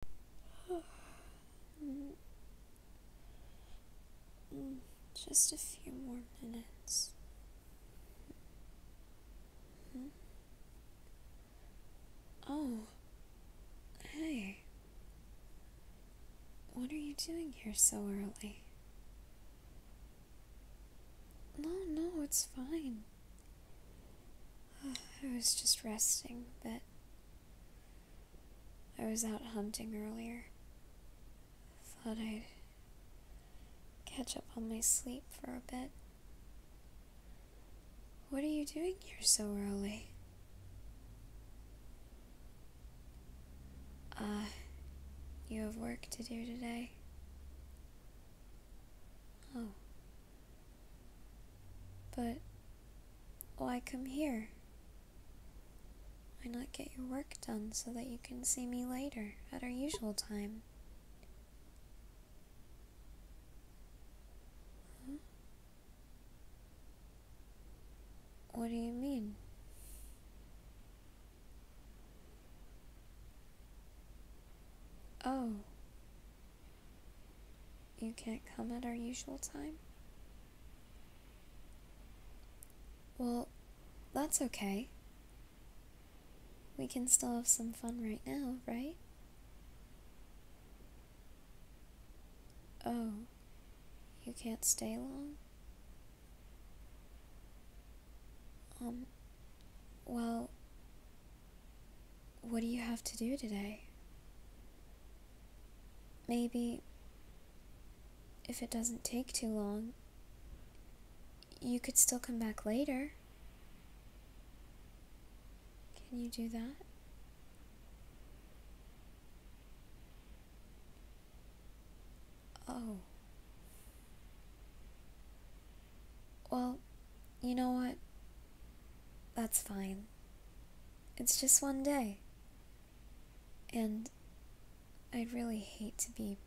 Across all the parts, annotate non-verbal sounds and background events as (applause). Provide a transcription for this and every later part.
(sighs) Just a few more minutes. Hmm? Oh. Hey. What are you doing here so early? No, no, it's fine. (sighs) I was just resting, but I was out hunting earlier. Thought I'd catch up on my sleep for a bit. What are you doing here so early? Ah, you have work to do today. Oh. But why come here? Why not get your work done so that you can see me later at our usual time? What do you mean? Oh, you can't come at our usual time? Well, that's okay. We can still have some fun right now, right? Oh, you can't stay long? Um, well, what do you have to do today? Maybe, if it doesn't take too long, you could still come back later. Can you do that? Oh. Well, you know what? That's fine. It's just one day. And I'd really hate to be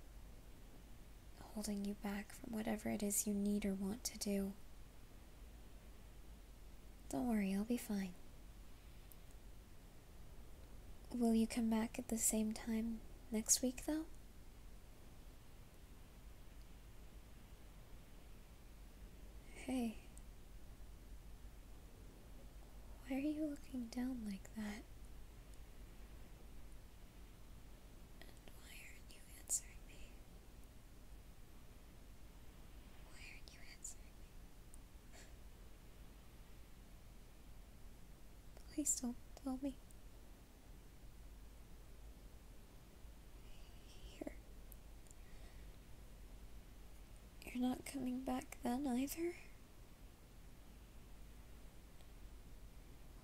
holding you back from whatever it is you need or want to do. Don't worry, I'll be fine. Will you come back at the same time next week, though? Hey. Why are you looking down like that? And why aren't you answering me? Why aren't you answering me? Please don't tell me. Here. You're not coming back then either?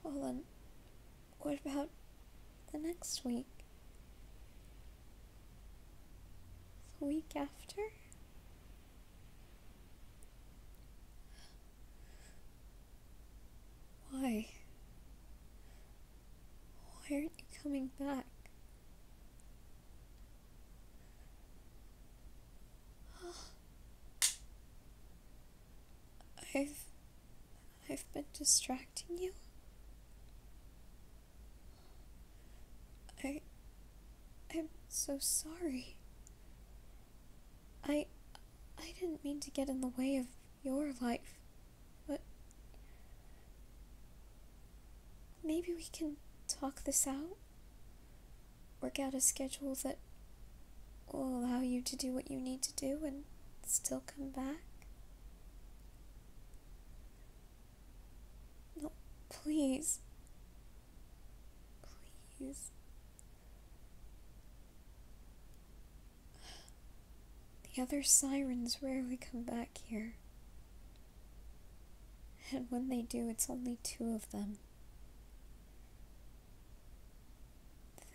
Hold on. what about the next week? The week after? Why? Why aren't you coming back? (gasps) I've. I've been distracting you? I. I'm so sorry. I. I didn't mean to get in the way of your life. But maybe we can talk this out? Work out a schedule that will allow you to do what you need to do and still come back? No, please. Please. The other sirens rarely come back here. And when they do, it's only two of them.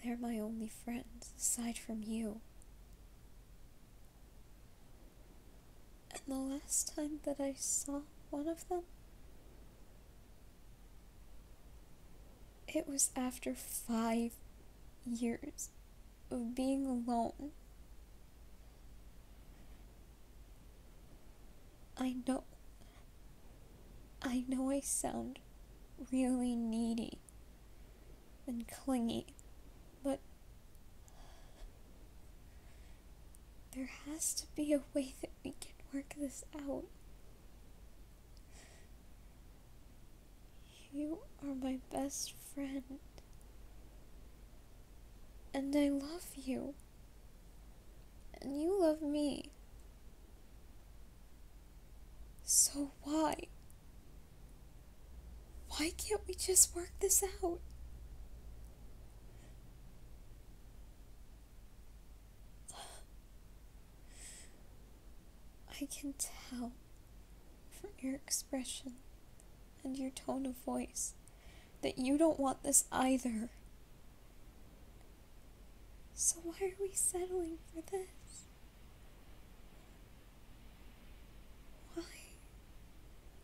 They're my only friends, aside from you. And the last time that I saw one of them, it was after five years of being alone. I know. I know I sound really needy and clingy, but there has to be a way that we can work this out. You are my best friend. And I love you. And you love me. So why? Why can't we just work this out? (sighs) I can tell from your expression and your tone of voice that you don't want this either. So, why are we settling for this? Why?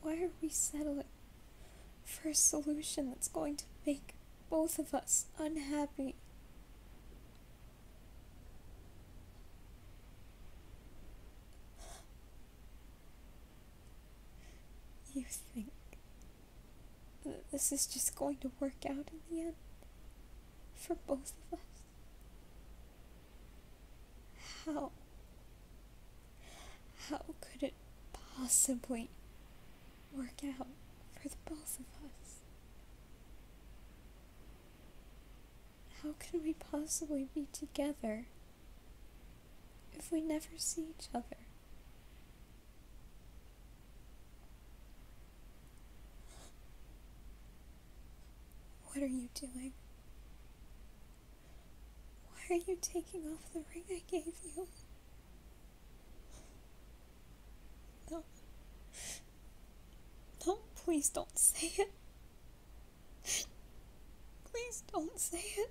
Why are we settling for a solution that's going to make both of us unhappy? You think that this is just going to work out in the end? For both of us? How? How could it possibly work out for the both of us? How can we possibly be together if we never see each other? What are you doing? Why are you taking off the ring I gave you? No. No, please don't say it. Please don't say it.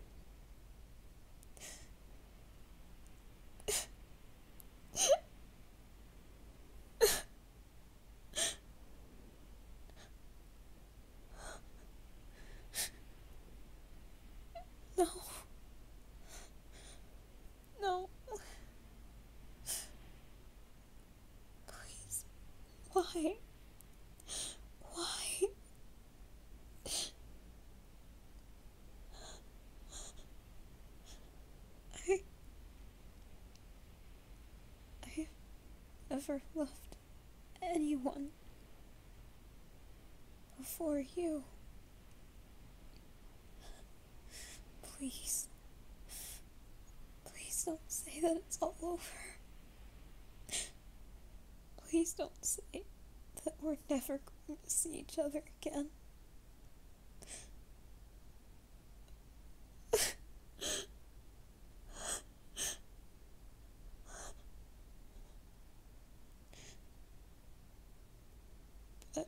No. No. Please. Why? Why? I. I ever loved anyone before you. Please. Please don't say that it's all over. Please don't say that we're never going to see each other again. but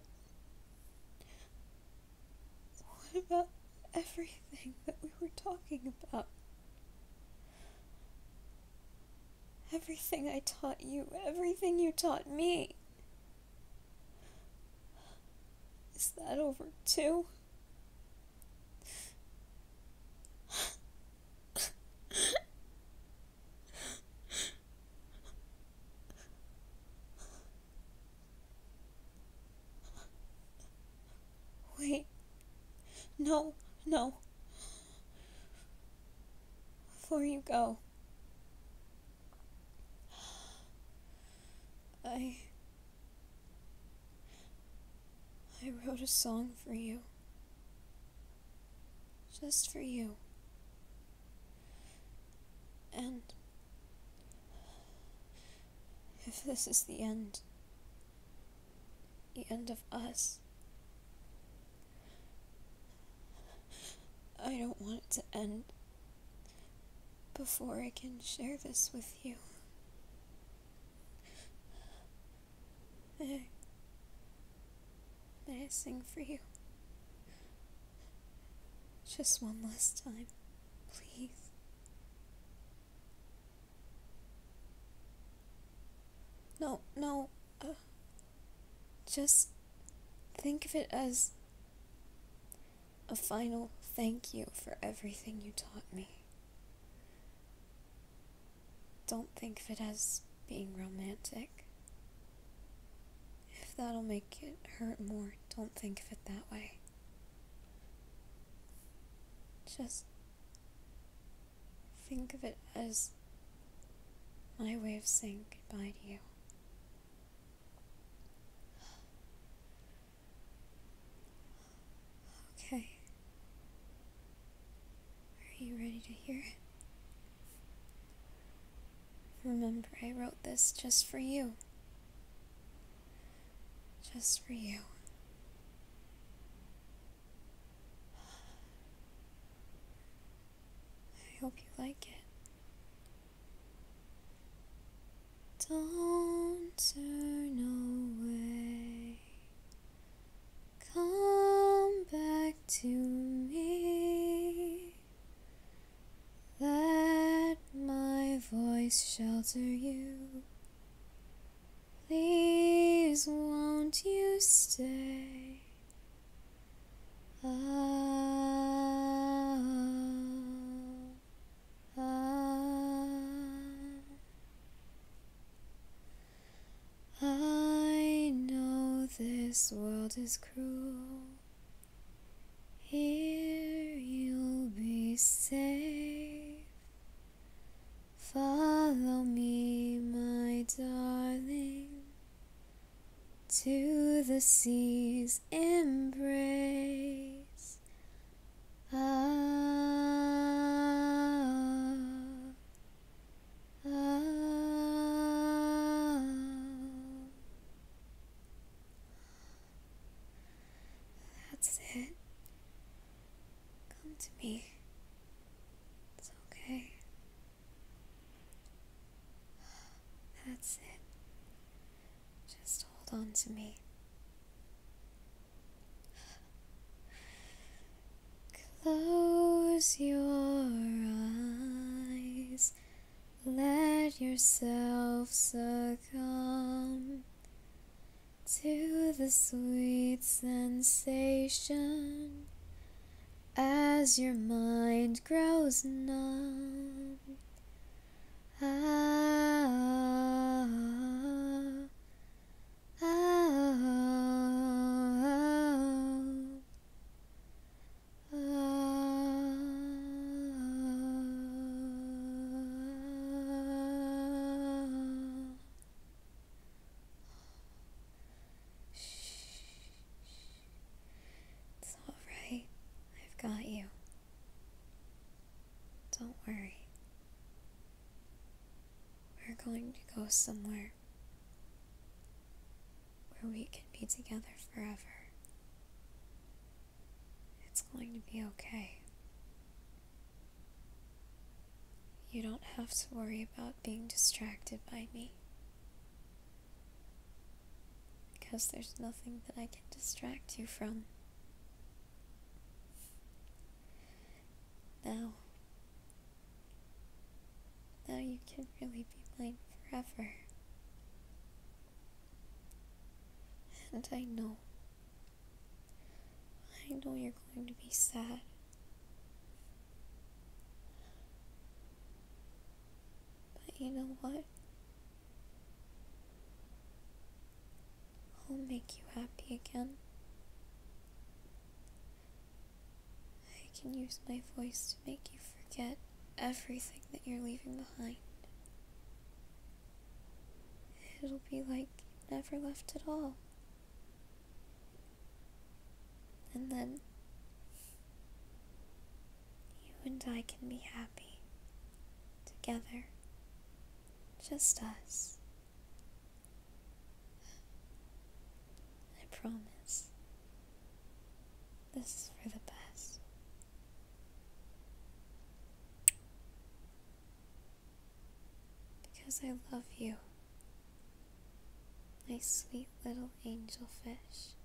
what about everything that we were talking about? Everything I taught you, everything you taught me. Is that over too? Wait. No, no. Before you go. I. I wrote a song for you. Just for you. And. If this is the end the end of us. I don't want it to end before I can share this with you. May I, sing for you? Just one last time, please. No, no. Uh, just think of it as a final thank you for everything you taught me. Don't think of it as being romantic. If that'll make it hurt more, don't think of it that way. Just Think of it as my way of saying goodbye to you. Okay. Are you ready to hear it? Remember, I wrote this just for you. Just for you. I hope you like it. Don't turn away. Come back to me. Let my voice shelter you. Please won't you stay? Ah, I know this world is cruel. Here you'll be safe. Follow me, my darling, to the sea's embrace. Ah, ah. That's it. Come to me. It's okay. That's it. Just hold on to me. Close your eyes. Let yourself succumb to the sweet sensation as your mind grows numb. Ah, ah, ah, ah. It's all right. I've got you. Don't worry. We're going to go somewhere where we can be together forever. It's going to be okay. You don't have to worry about being distracted by me. Because there's nothing that I can distract you from. Now. Now you can really be mine forever. And I know I know you're going to be sad. But you know what? I'll make you happy again. I can use my voice to make you forget everything that you're leaving behind. It'll be like you never left at all. And then you and I can be happy together, just us. I promise. This is for the best. Because I love you, my sweet little angelfish.